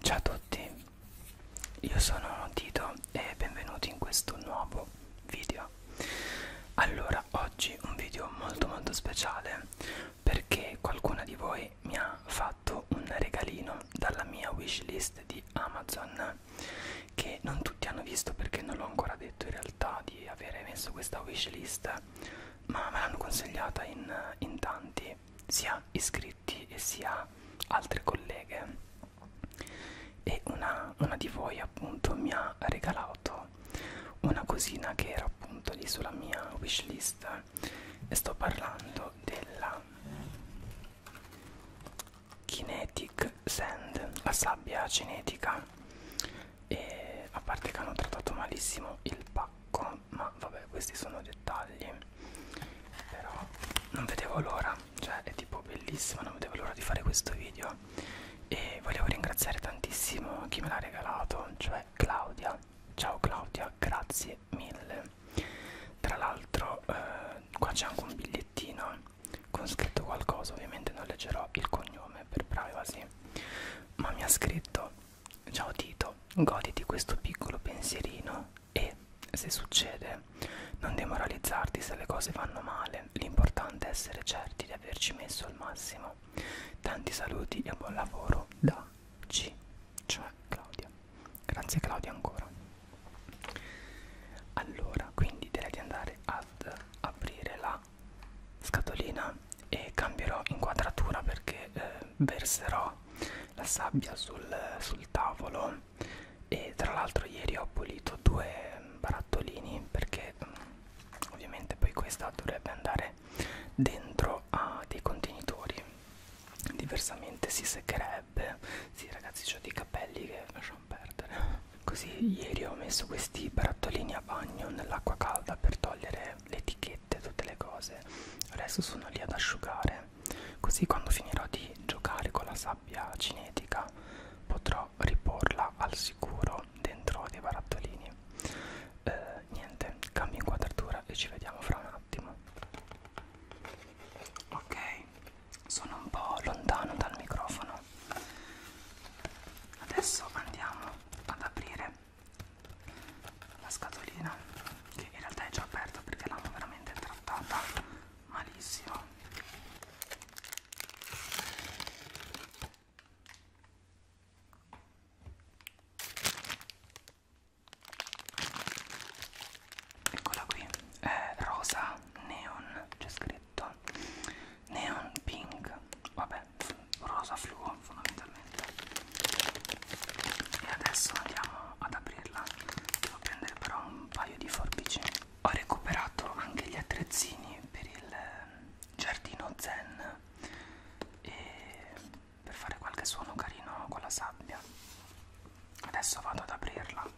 Ciao a tutti, io sono Tito e benvenuti in questo nuovo video. Allora, oggi un video molto molto speciale perché qualcuna di voi mi ha fatto un regalino dalla mia wishlist di Amazon che non tutti hanno visto perché non l'ho ancora detto in realtà di avere messo questa wishlist ma me l'hanno consigliata in, in tanti, sia iscritti e sia altre colleghe. E una, una di voi, appunto, mi ha regalato una cosina che era appunto lì sulla mia wishlist. E sto parlando della Kinetic Sand, la sabbia cinetica e a parte che hanno trattato malissimo il pacco ma vabbè questi sono dettagli però non vedevo l'ora cioè è tipo bellissimo non vedevo l'ora di fare questo video e volevo ringraziare tantissimo chi me l'ha regalato cioè Claudia ciao Claudia grazie mille tra l'altro eh, qua c'è anche un bigliettino con scritto qualcosa ovviamente non leggerò il cognome per privacy ma mi ha scritto ciao Tito, goditi questo piccolo pensierino e se succede non demoralizzarti se le cose vanno male, l'importante è essere certi di averci messo il massimo. Tanti saluti e buon lavoro da C, cioè Claudia. Grazie Claudia ancora. Allora, quindi direi di andare ad aprire la la scatolina e cambierò inquadratura perché eh, verserò la sabbia sul, sul tavolo e tra l'altro ieri ho pulito due barattolini perché mh, mm, ovviamente poi questa dovrebbe andare dentro a dei contenitori diversamente si seccherebbe sì ragazzi ho dei capelli che lasciamo perdere così ieri ho messo questi barattolini a bagno nell'acqua calda per togliere cose, le etichette, tutte le cose adesso sono lì ad asciugare così quando finirò di giocare con la sabbia cinetica potrò riporla al sicuro dentro dei barattolini eh, niente cambio inquadratura e ci vediamo fra un attimo ok sono un po' lontano dal microfono adesso andiamo ad aprire la scatolina che in realtà è già aperta perché l'hanno veramente trattata malissimo eccola qui eh, rosa neon c'è scritto neon pink vabbè è rosa fluo fondamentalmente e adesso andiamo ad aprirla devo prendere però un paio di forbici ho recuperato anche gli attrezzini per il ehm, giardino zen e per fare qualche suono carino con la sabbia adesso vado ad aprirla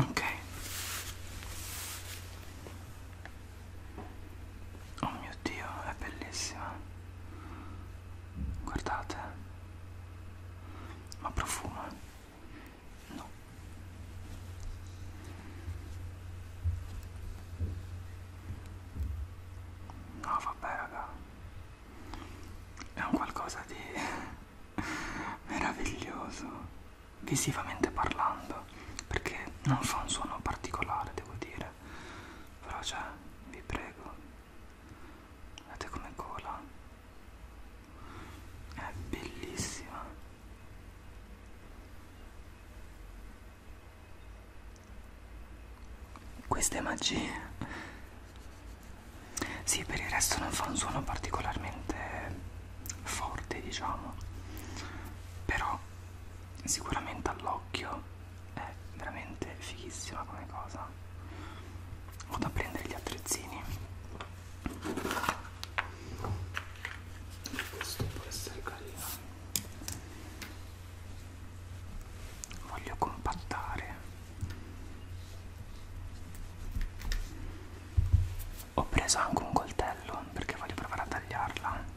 Ok. Oh mio Dio, è bellissima. Guardate. Ma profuma? Eh? No. No, vabbè, raga. È un qualcosa di meraviglioso visivamente parlando, perché non fa un suono particolare, devo dire. Però cioè, vi prego Guardate come cola. È bellissima. Questa è magia. Sì, per il resto non fa un suono particolarmente forte, diciamo. Però sicuramente all'occhio è veramente fighissima come cosa vado a prendere gli attrezzini questo può essere carino voglio compattare ho preso anche un coltello perché voglio provare a tagliarla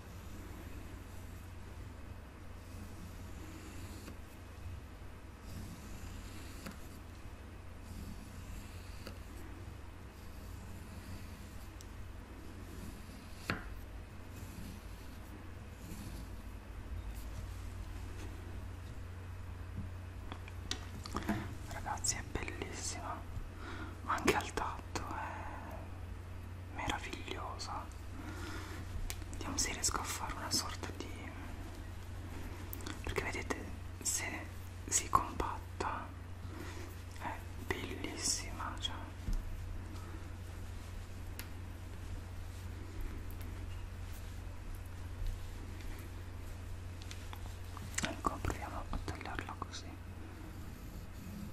Ragazzi è bellissima ma anche al tatto è eh. meravigliosa vediamo se riesco a fare una sorta di perché vedete se si compatta è bellissima cioè Ecco, proviamo a tagliarla così.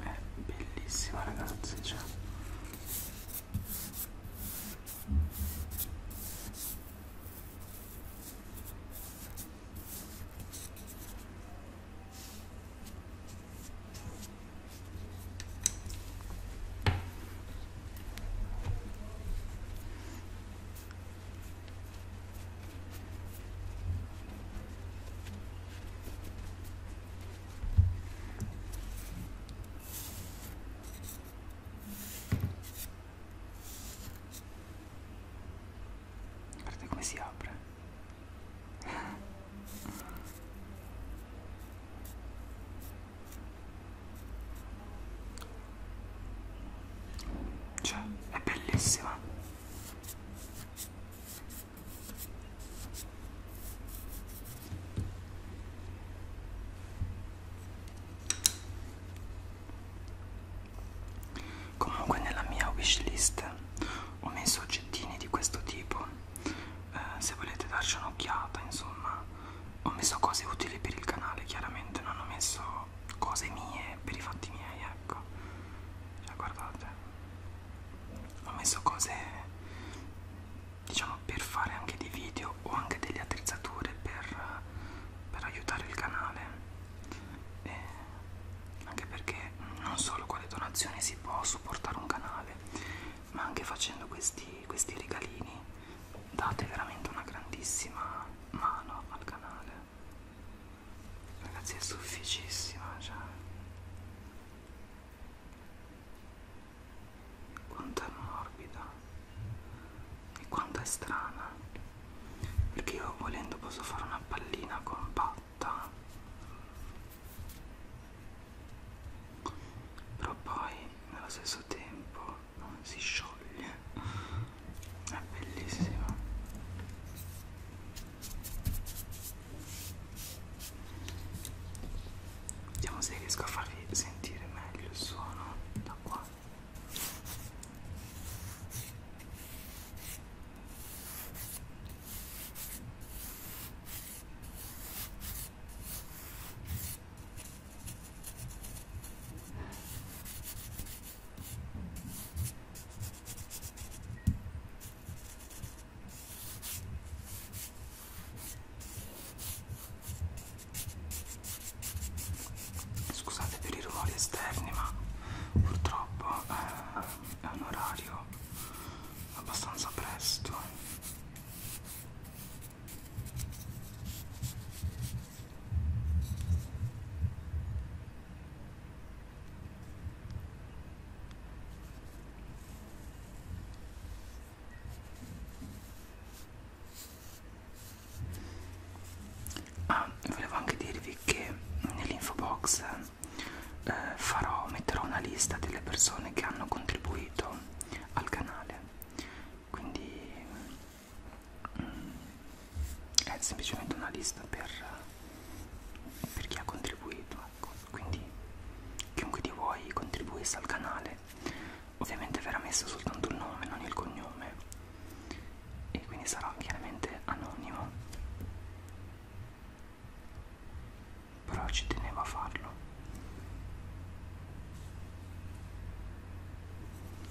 è eh, bellissima ragazzi cioè. Guardate come si apre. Cioè, è bellissima. Comunque nella mia wishlist ho messo oggettini di questo tipo, eh, se volete darci un'occhiata, insomma, ho messo cose utili per il canale, chiaramente non ho messo cose mie per i fatti miei, ecco cioè guardate ho messo cose diciamo per fare anche dei video o anche delle attrezzature per, per aiutare il canale e anche perché non solo con le donazioni si può supportare un canale ma anche facendo questi, questi regalini date veramente una grandissima mano al canale Ragazzi è sofficissima, cioè. Quanto è morbida e quanto è strana. Perché io volendo posso fare una pallina compatta. Però poi nello stesso tempo non si scioglie è bellissima vediamo se riesco a farvi sentire meglio il suono da qua Scusate per i rumori esterni, ma purtroppo eh, è un orario abbastanza presto. Ah, volevo anche dirvi che nell'info box eh, farò, metterò una lista delle persone che hanno contribuito al canale quindi è semplicemente una lista per, per chi ha contribuito ecco. quindi chiunque di voi contribuisse al canale ovviamente verrà messo soltanto il nome non il cognome e quindi sarà chiaramente anonimo però ci tenevo a farlo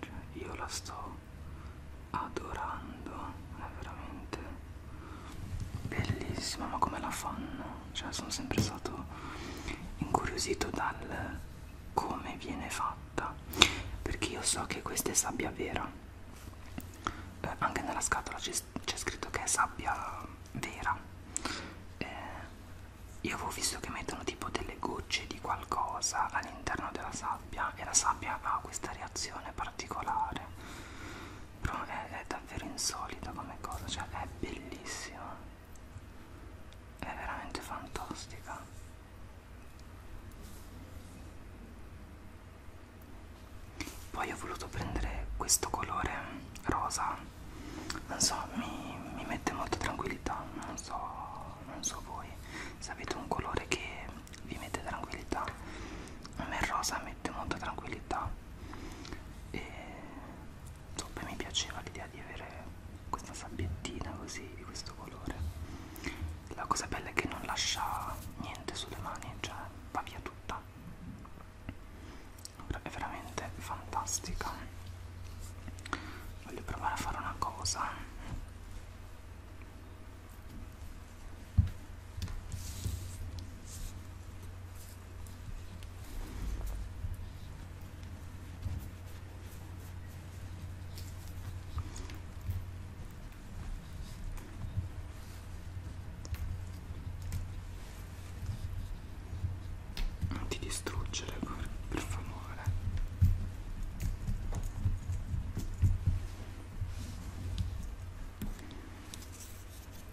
Cioè, io la sto adorando, è veramente Bellissima, ma come la fanno? Cioè sono sempre stato incuriosito dal come viene fatta. Perché io so che questa è sabbia vera. Eh, anche nella scatola c'è scritto che è sabbia vera. Eh, io avevo visto che mettono tipo delle gocce di qualcosa all'interno della sabbia e la sabbia ha questa reazione particolare però è, è davvero insolita come cosa, cioè è bellissima, è veramente fantastica. Poi ho voluto prendere questo colore rosa, non so, mi, mi mette molta tranquillità, non so, non so voi se avete un colore che vi mette tranquillità. A me il rosa mette molta tranquillità e poi mi piaceva l'idea di avere questa sabbiettina così di questo colore la cosa bella è che non lascia niente sulle mani cioè va via tutta è veramente fantastica voglio provare a fare una cosa non ti distruggere per, per favore.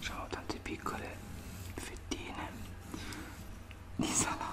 Sono tante piccole fettine di salame.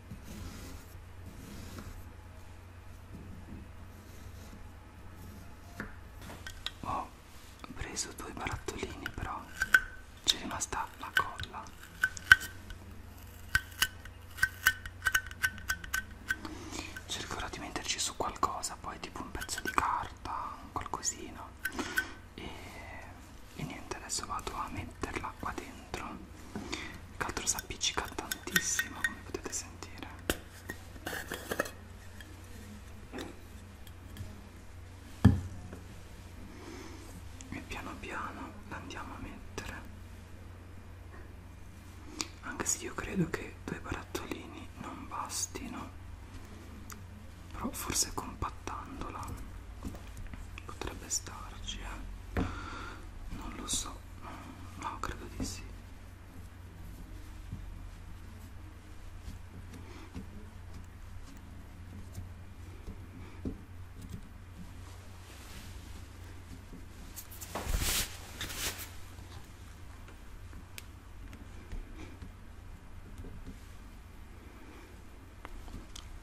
Ho preso due barattolini però c'è rimasta la colla. Cercherò di metterci su qualcosa, poi tipo un pezzo di carta, qualcosina. E, e niente, adesso vado a metterla qua dentro il caldo si appiccica tantissimo, come potete sentire. E piano piano andiamo a mettere. Anche se io credo che due barattolini non bastino, però forse compattandola potrebbe starci eh non lo so no credo di sì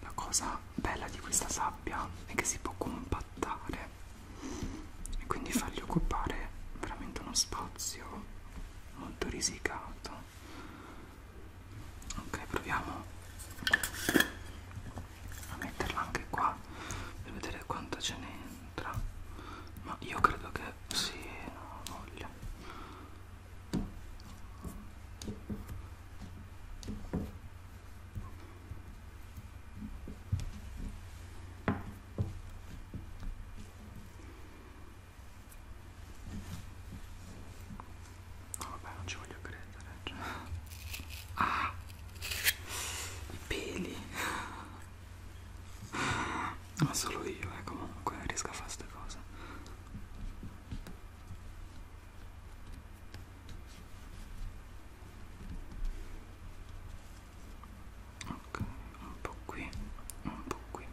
la cosa bella di questa sabbia è che si può compattare e quindi fargli occupare veramente uno spazio molto risicato. Ok, proviamo a metterla anche qua per vedere quanto ce ne entra. Ma io credo che sì, non voglio. No, vabbè, non ci voglio credere. Cioè. Ah, i peli. Ma solo io, eh, comunque riesco a fare queste cose ok un po' qui un po' qui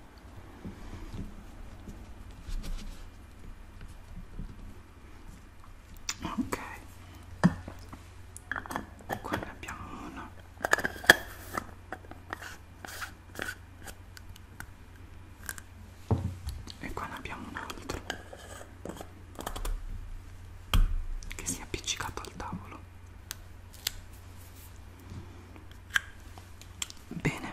ok qua ne abbiamo una e qua ne abbiamo un altro che si è appiccicato al tavolo bene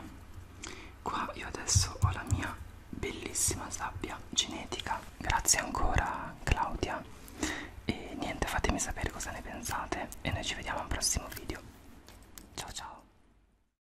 qua io adesso ho la mia bellissima sabbia genetica grazie ancora Claudia e niente fatemi sapere cosa ne pensate e noi ci vediamo al prossimo video ciao ciao